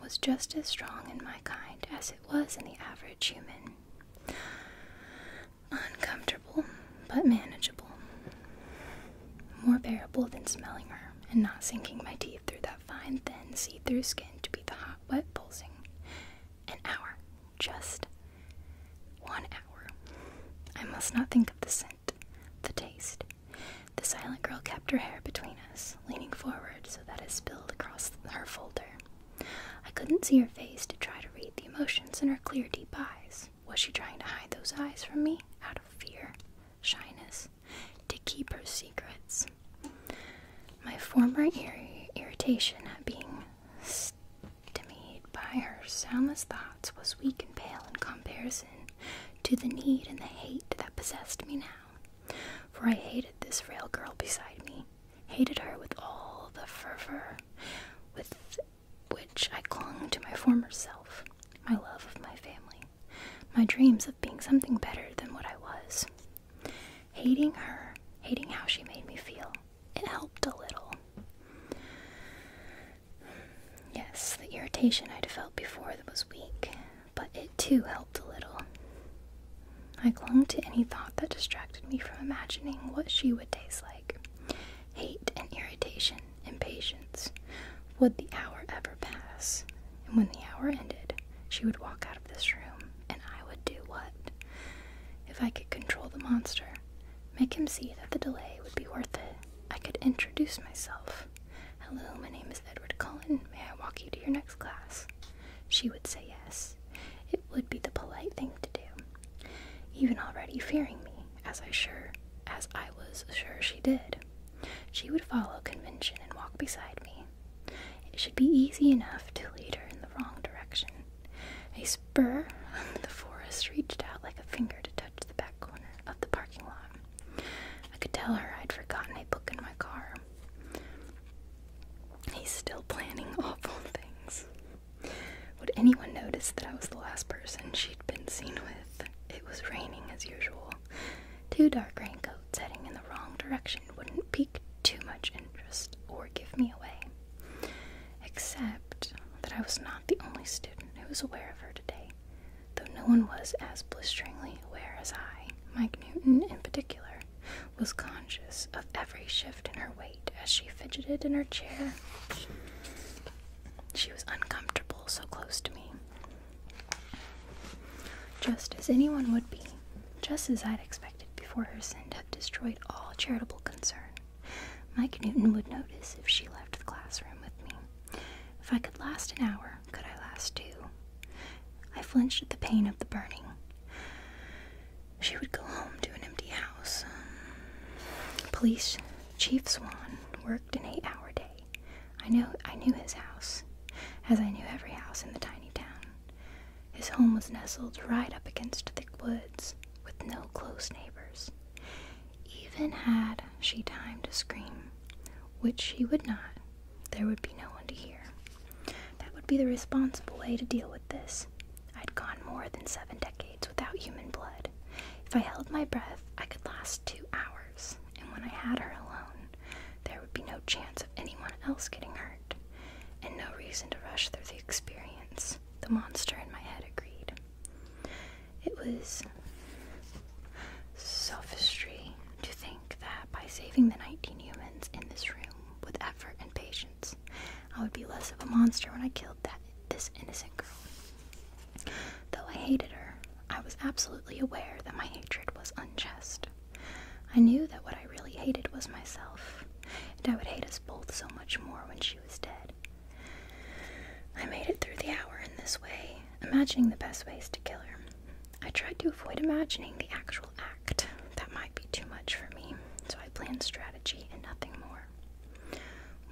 was just as strong in my kind as it was in the average human. Uncomfortable, but manageable. More bearable than smelling her and not sinking my teeth through that fine, thin, see through skin to beat the hot, wet pulsing. An hour just one hour. I must not think of the scent, the taste. The silent girl kept her hair between us, leaning forward so that it spilled across her folder. I couldn't see her face to try to read the emotions in her clear, deep eyes. Was she trying to hide those eyes from me out of fear, shyness, to keep her secrets? My former irritation at being Stymied by her soundless thoughts, was weak and pale in comparison to the need and the hate that possessed me now. For I hated this frail girl beside me, hated her with all the fervor with which I clung to my former self, my love of my family, my dreams of being something better than what I was. Hating her, hating how she made me feel, it helped a little. Yes, the irritation I'd felt before was weak, but it too helped a little. I clung to any thought that distracted me from imagining what she would taste like. Hate and irritation, impatience. Would the hour ever pass? And when the hour ended, she would walk out of this room, and I would do what? If I could control the monster, Make him see that the delay would be worth it. I could introduce myself. Hello, my name is Edward Cullen. May I walk you to your next class? She would say yes. It would be the polite thing to do. Even already fearing me, as I sure as I was sure she did. She would follow convention and walk beside me. It should be easy enough to lead her in the wrong direction. A spur of the forest reached out like a finger to touch the back corner of the parking lot. I could tell her I'd forgotten a book in my car. He's still planning awful things. Would anyone notice that I was the last person she'd been seen with? It was raining as usual. Two dark raincoats heading in the wrong direction wouldn't pique too much interest or give me away. Except that I was not the only student who was aware of her today, though no one was as blisteringly aware as I. Mike Newton, in particular, was conscious of every shift in her weight as she fidgeted in her chair. She was uncomfortable so close to me. Just as anyone would be, just as I'd expected before her sin had destroyed all charitable concern. Mike Newton would notice if she left the classroom with me. If I could last an hour, could I last two? I flinched at the pain of the burning. She would go home to an empty house. Um, police Chief Swan worked an eight hour day. I know I knew his house, as I knew every house in the tiny town. His home was nestled right up against thick woods, with no close neighbors. Even had she time to scream, which she would not, there would be no one to hear. That would be the responsible way to deal with this. I'd gone more than seven decades without human blood. If I held my breath, I could last two hours, and when I had her alone, there would be no chance of anyone else getting hurt, and no reason to rush through the experience. The monster in my head agreed. It was sophistry to think that by saving the 19 humans in this room with effort and patience, I would be less of a monster when I killed that this innocent girl. Though I hated her, I was absolutely aware that my hatred was unjust. I knew that what I really hated was myself, and I would hate us both so much more when she was dead. I made it through the hour in this way, imagining the best ways to kill her. I tried to avoid imagining the actual act. That might be too much for me, so I planned strategy and nothing more.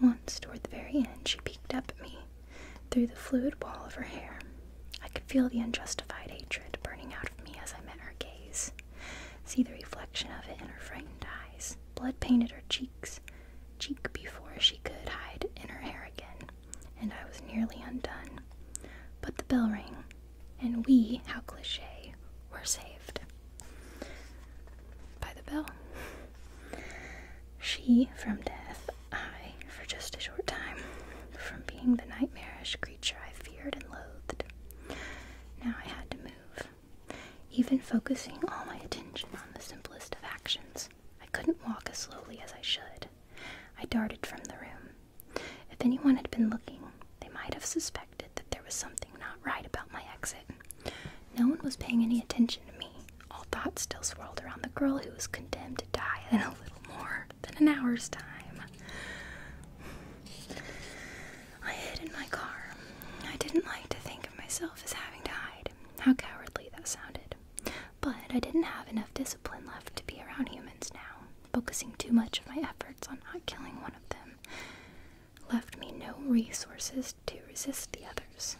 Once, toward the very end, she peeked up at me through the fluid wall of her hair. I could feel the unjustified hatred burning out of me as I met her gaze, see the reflection of it in her frightened eyes. Blood painted her cheek cheek before she could hide in her hair again, and I was nearly undone. But the bell rang, and we, how cliche, were saved. By the bell. She from death, I for just a short time, from being the nightmarish creature I feared and loathed. Now I had to move. Even focusing all my attention on the simplest of actions, I couldn't walk as slowly as I should. I darted from the room. If anyone had been looking, they might have suspected that there was something not right about my exit. No one was paying any attention to me. All thoughts still swirled around the girl who was condemned to die in a little more than an hour's time. I hid in my car. I didn't like to think of myself myself as having died. How cowardly that sounded. But I didn't have enough discipline left to be around humans now. Focusing too much of my efforts on not killing one of them left me no resources to resist the others.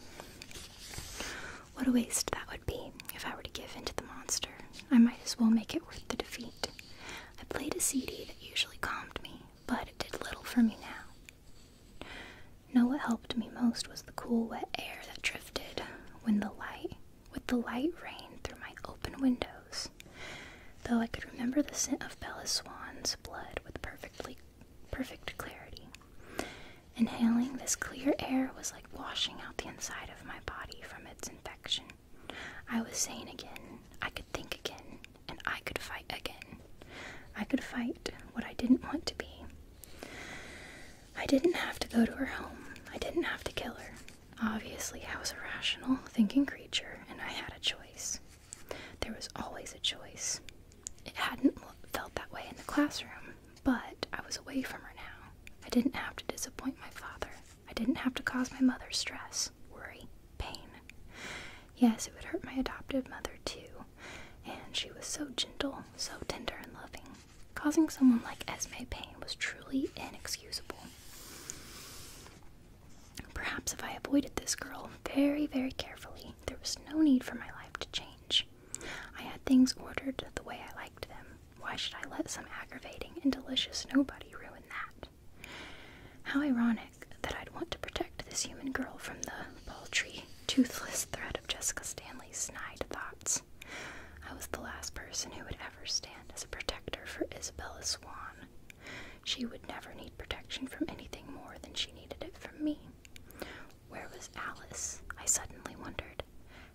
What a waste that would be if I were to give in to the monster. I might as well make it worth the defeat. I played a CD that usually calmed me, but it did little for me now. No, what helped me most was the cool wet air that drifted when the light with the light rain through my open windows. Though I could remember the scent of Bella Swan's blood with perfectly perfect clarity. Inhaling this clear air was like washing out the inside of my body from its infection. I was sane again. I could think again and I could fight again. I could fight what I didn't want to be. I didn't have to go to her home. I didn't have to kill her. Obviously, I was a rational, thinking creature, and I had a choice. There was always a choice. It hadn't felt that way in the classroom, but I was away from her now. I didn't have to disappoint my father. I didn't have to cause my mother stress, worry, pain. Yes, it would hurt my adoptive mother too, and she was so gentle, so tender and loving. Causing someone like Esme pain was truly inexcusable. Perhaps if I avoided this girl very, very carefully, there was no need for my life to change. I had things ordered the way I liked them. Why should I let some aggravating and delicious nobody ruin that? How ironic that I'd want to protect this human girl from the paltry toothless thread of Jessica Stanley's snide thoughts. I was the last person who would ever stand as a protector for Isabella Swan. She would never need protection from anything more than she needed it from me. Where was Alice? I suddenly wondered.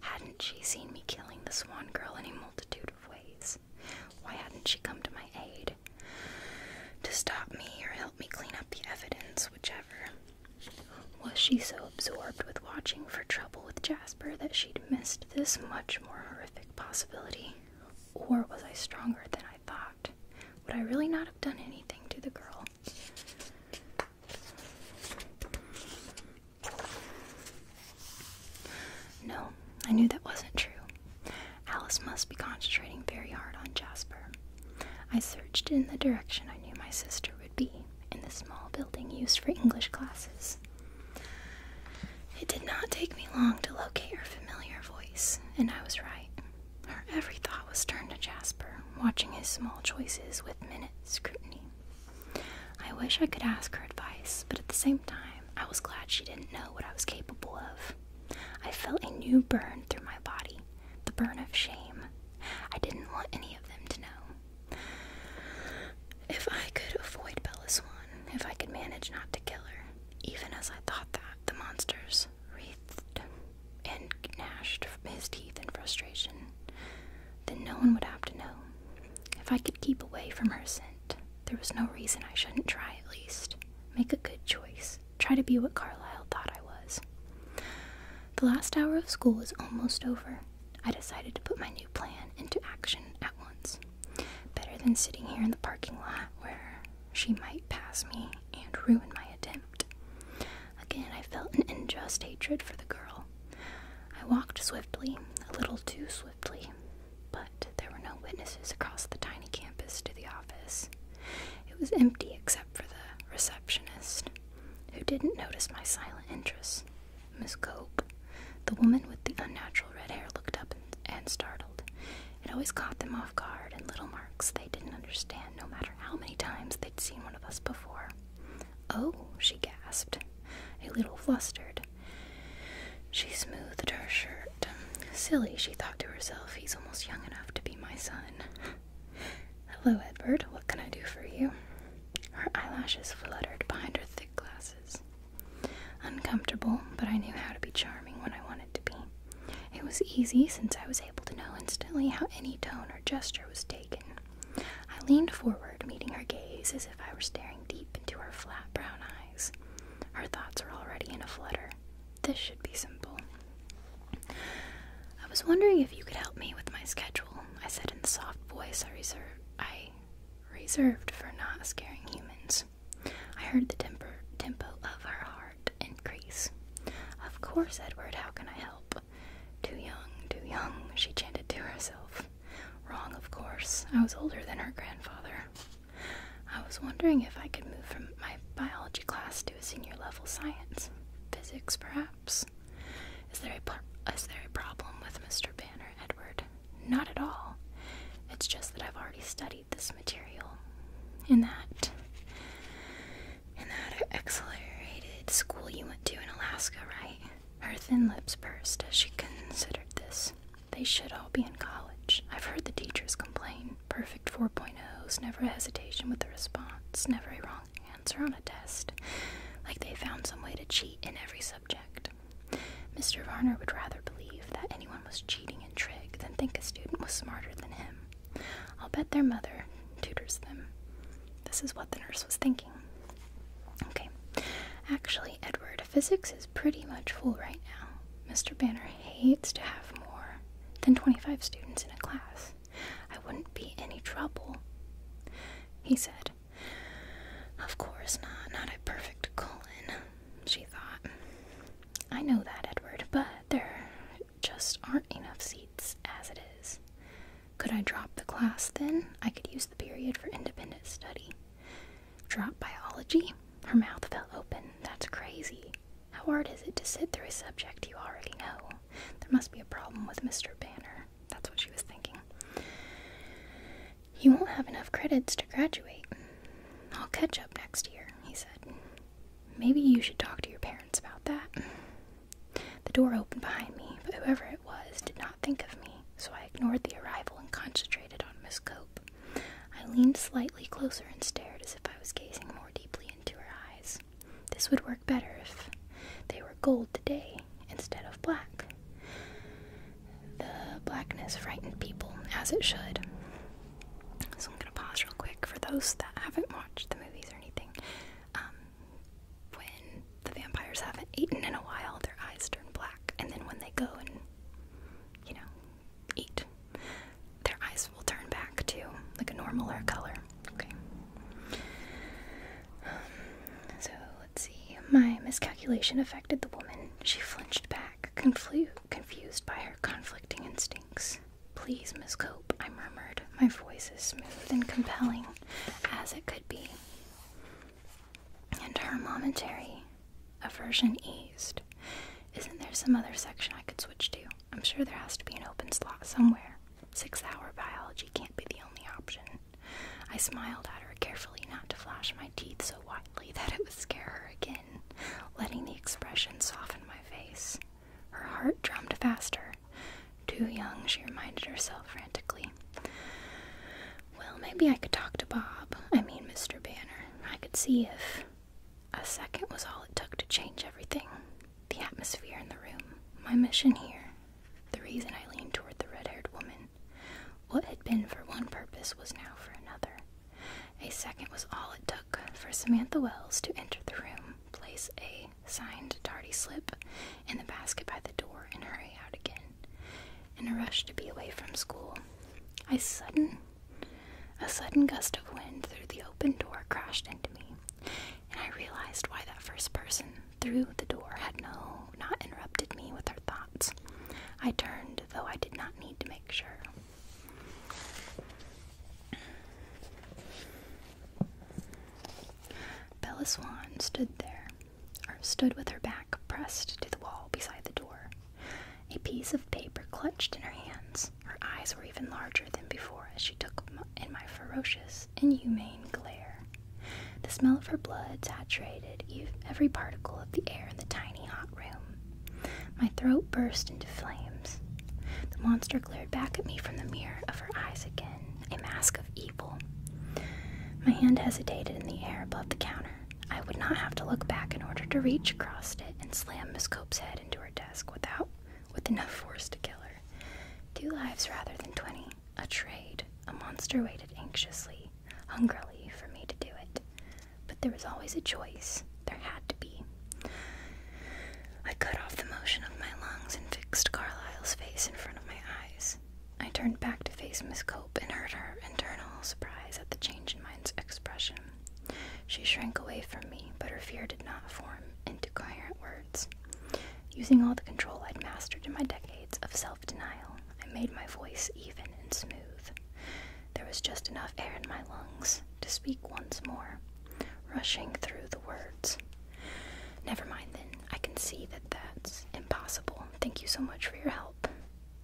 Hadn't she seen me killing the Swan girl in a multitude of ways? Why hadn't she come to my aid? To stop me or help me clean up the evidence? whichever. Was she so absorbed with watching for trouble with Jasper that she'd missed this much more horrific possibility? Or was I stronger than I thought? Would I really not have done anything to the girl? No, I knew that wasn't true. Alice must be concentrating very hard on Jasper. I searched in the direction I knew my sister would be, in the small building used for English classes. It did not take me long to locate her familiar voice, and I was right. Her every thought was turned to Jasper, watching his small choices with minute scrutiny. I wish I could ask her advice, but at the same time, I was glad she didn't know what I was capable of. I felt a new burn through my body, the burn of shame. I didn't want any of them to know. If I could avoid Bella Swan, if I could manage not to kill her, even as I thought that, the monsters wreathed and gnashed his teeth in frustration. Then no one would have to know. If I could keep away from her scent, there was no reason I shouldn't try at least. Make a good choice try to be what Carlyle thought I was. The last hour of school is almost over. I decided to put my new plan into action at once. Better than sitting here in the parking lot where she might pass me and ruin my attempt. Again, I felt an unjust hatred for the girl. I walked swiftly, a little too swiftly, but there were no witnesses across the tiny campus to the office, it was empty except for the receptionist, who didn't notice my silent interest. Miss Cope, the woman with the unnatural red hair, looked up and, startled. It always caught them off guard, and little marks they didn't understand, no matter how many times they'd seen one of us before. Oh, she gasped, a little flustered. She smoothed her shirt. Silly, she thought to herself, he's almost young enough to be my son. Hello, Edward. What can I do for you? Her eyelashes fluttered behind her thick glasses. Uncomfortable, but I knew how to be charming when I wanted to be. It was easy since I was able to know instantly how any tone or gesture was taken. I leaned forward, meeting her gaze as if I were staring deep into her flat brown eyes. Her thoughts were already in a flutter. This should be simple. I was wondering if you could help me with my schedule, I said in the soft voice I, reserve, I reserved for not scaring humans. I heard the temper, tempo of her heart increase. Of course, Edward, how can I help? Too young, too young, she chanted to herself. Wrong, of course. I was older than her grandfather. I was wondering if I could move from my biology class to a senior level science? Physics, perhaps? Is there a, is there a problem with Mr. Banner, Edward? Not at all. It's just that I've already studied this material. In that, in that accelerated school you went to in Alaska, right? Her thin lips pursed as she considered this. They should all be in college. I've heard the teachers complain. Perfect four 4.0s, never hesitation with the response, never a wrong answer on a test, like they found some way to cheat in every subject. Mr. Varner would rather believe that anyone was cheating in trig than think a student was smarter than him. I'll bet their mother tutors them. This is what the nurse was thinking. Okay, actually, Edward, physics is pretty much full right now. Mr. Banner hates to have more than 25 students in a class. I wouldn't be any trouble. He said, Of course not, not a perfect colon, she thought. I know that, Edward, but there just aren't enough seats as it is. Could I drop the class then? I could use the period for independent study. Drop biology? Her mouth fell open. That's crazy. How hard is it to sit through a subject you already know? There must be a problem with Mr. Banner. That's what she was thinking. You won't have enough credits to graduate. I'll catch up next year, he said. Maybe you should talk to your parents about that. The door opened behind me, but whoever it was did not think of me, so I ignored the arrival and concentrated on Miss Cope. I leaned slightly closer and stared as if I was gazing more deeply into her eyes. This would work better if they were gold today instead of black. The blackness frightened people, as it should. So I'm going to pause real quick for those that haven't watched the movies or anything. Um, when the vampires haven't eaten in a while, their eyes turn black, and then when they go and, you know, eat, their eyes this will turn back to like a normaler color. Okay. Um, so let's see. My miscalculation affected the woman. She flinched back, confused by her conflicting instincts. Please, Miss Cope, I murmured, my voice as smooth and compelling as it could be. And her momentary aversion eased. Isn't there some other section I could switch to? I'm sure there has to be an open slot somewhere. Six hour biology can't be the only option. I smiled at her carefully not to flash my teeth so wildly that it would scare her again, letting the expression soften my face. Her heart drummed faster. Too young, she reminded herself frantically. Well, maybe I could talk to Bob. I mean, Mr. Banner. I could see if. A second was all it took to change everything. The atmosphere in the room, my mission here, the reason I leaned toward the red haired woman. What had been for one purpose was now for another. A second was all it took for Samantha Wells to enter the room, place a signed tardy slip in the basket by the door, and hurry out again. In a rush to be away from school, A sudden a sudden gust of wind through the open door crashed into me and I realized why that first person through the door had no not interrupted me with her thoughts. I turned, though I did not need to make sure. Bella Swan stood there, or stood with her back pressed to the wall beside the door, a piece of paper clutched in her hands. Her eyes were even larger than before as she took in my ferocious gross, inhumane glare. The smell of her blood saturated every particle of the air in the tiny hot room. My throat burst into flames. The monster glared back at me from the mirror of her eyes again, a mask of evil. My hand hesitated in the air above the counter. I would not have to look back in order to reach across it and slam Miss Cope's head into her desk without with enough force to kill her. Two lives rather than twenty. A trade. A monster waited anxiously, hungrily for me to do it. But there was always a choice. There had to be. I cut off the motion of my lungs and fixed Carlyle's face in front of my eyes. I turned back to face Miss Cope and heard her internal surprise at the change in mine's expression. She shrank away from me, but her fear did not form into coherent words. Using all the control I'd mastered in my decades of self denial, I made my voice even and smooth. There was just enough air in my lungs to speak once more, rushing through the words. Never mind then, I can see that that's impossible. Thank you so much for your help.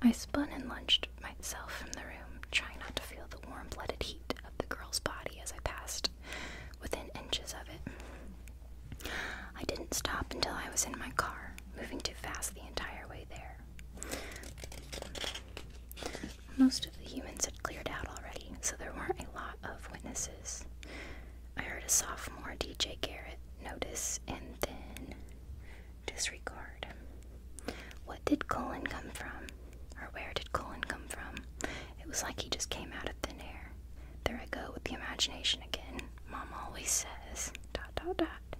I spun and lunged myself from the room, trying not to feel the warm blooded heat the girl's body as I passed within inches of it. I didn't stop until I was in my car, moving too fast the entire way there. Most of the humans had cleared out already, so there weren't a lot of witnesses. I heard a sophomore, DJ Garrett, notice and then disregard. What did Colin come from? Or where did Colin come from? It was like he just came out of thin air. There I go with the imagination again. Mom always says. Dot dot dot.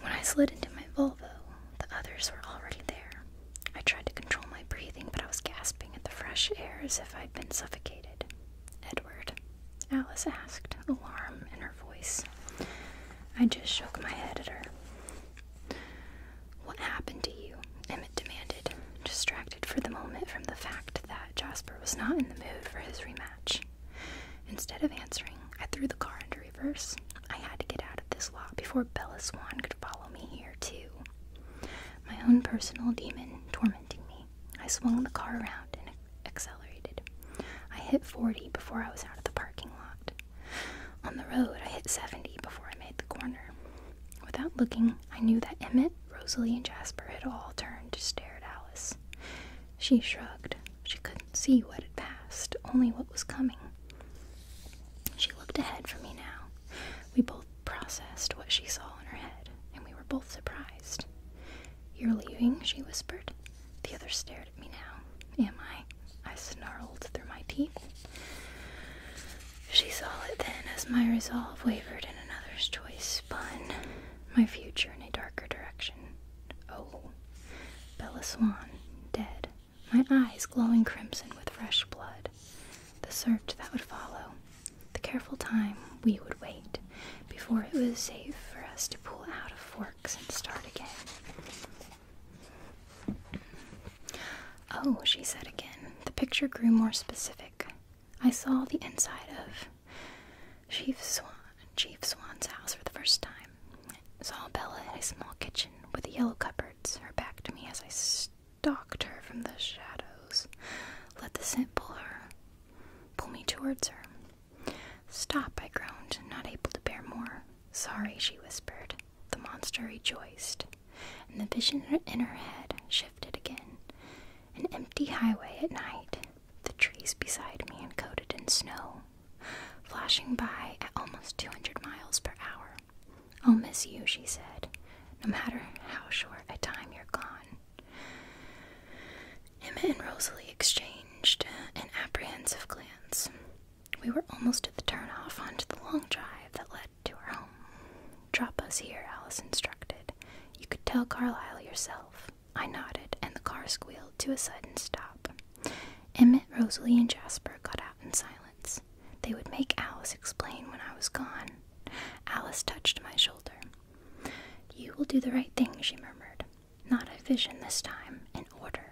When I slid into my Volvo, the others were already there. I tried to control my breathing, but I was gasping at the fresh air as if I'd been suffocated. Edward, Alice asked, alarm in her voice. I just shook my head at her. What happened to you? Emmett demanded, distracted for the moment from the fact that Jasper was not in the mood for his rematch. Instead of answering, I threw the car into reverse. I had to get out of this lot before Bella Swan could follow me here, too. My own personal demon tormenting me. I swung the car around and accelerated. I hit 40 before I was out of the parking lot. On the road, I hit 70 before I made the corner. Without looking, I knew that Emmett, Rosalie, and Jasper had all turned to stare at Alice. She shrugged. She couldn't see what had passed, only what was coming. She looked ahead for me now. We both processed what she saw in her head, and we were both surprised. You're leaving, she whispered. The other stared at me now. Am I? I snarled through my teeth. She saw it then as my resolve wavered and another's choice spun my future in a darker direction. Oh, Bella Swan, dead, my eyes glowing crimson with fresh blood. The search that would follow, the careful time we would wait before it was safe for us to pull out of forks and start again. Oh, she said again. The picture grew more specific. I saw the inside of Chief, Swan's house for the first time. Saw Bella in a small kitchen with yellow cupboards, her back to me as I stalked her from the shadows. Let the scent pull her, pull me towards her. Stop, I groaned, not able to bear more. Sorry, she whispered. The monster rejoiced and the vision in her head shifted again. An empty highway at night, the trees beside me encoded in snow, flashing by at almost 200 miles per hour. I'll miss you, she said, no matter how short a time you're gone. Emma and Rosalie exchanged uh, an apprehensive glance. We were almost at the turnoff onto the long drive that led to her home. Drop us here, Alice instructed. You could tell Carlyle yourself. I nodded, and the car squealed to a sudden stop. Emmett, Rosalie, and Jasper got out in silence. They would make Alice explain when I was gone. Alice touched my shoulder. You will do the right thing, she murmured. Not a vision this time, in order.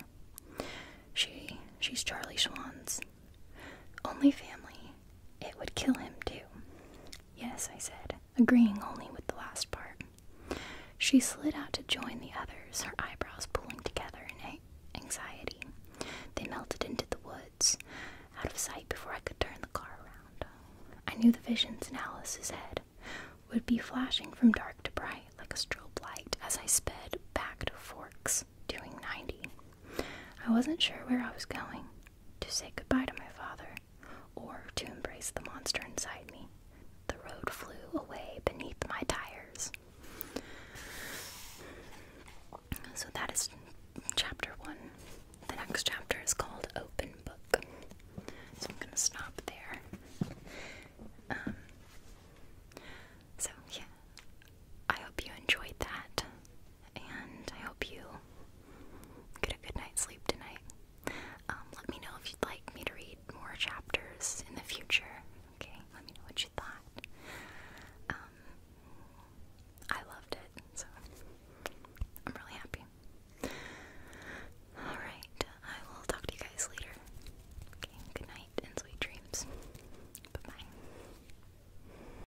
She, she's Charlie Schwann's. Only family. It would kill him, too. Yes, I said, agreeing only with the last part. She slid out to join the others, her eyebrows pulling together in anxiety. They melted into the woods, out of sight before I could turn the car around. I knew the visions in Alice's head would be flashing from dark to bright like a strobe light as I sped back to Forks doing 90. I wasn't sure where I was going to say goodbye to my father or to embrace the monster inside me. The road flew away beneath my tires. So that is chapter one. The next chapter is called Open Book. So I'm going to stop there. Um, so, yeah. I hope you enjoyed that and I hope you get a good night's sleep tonight. Um, let me know if you'd like me to read more chapters in the future. Okay, let me know what you thought. Um, I loved it, so I'm really happy. Alright, I will talk to you guys later. Okay, good night and sweet dreams. bye.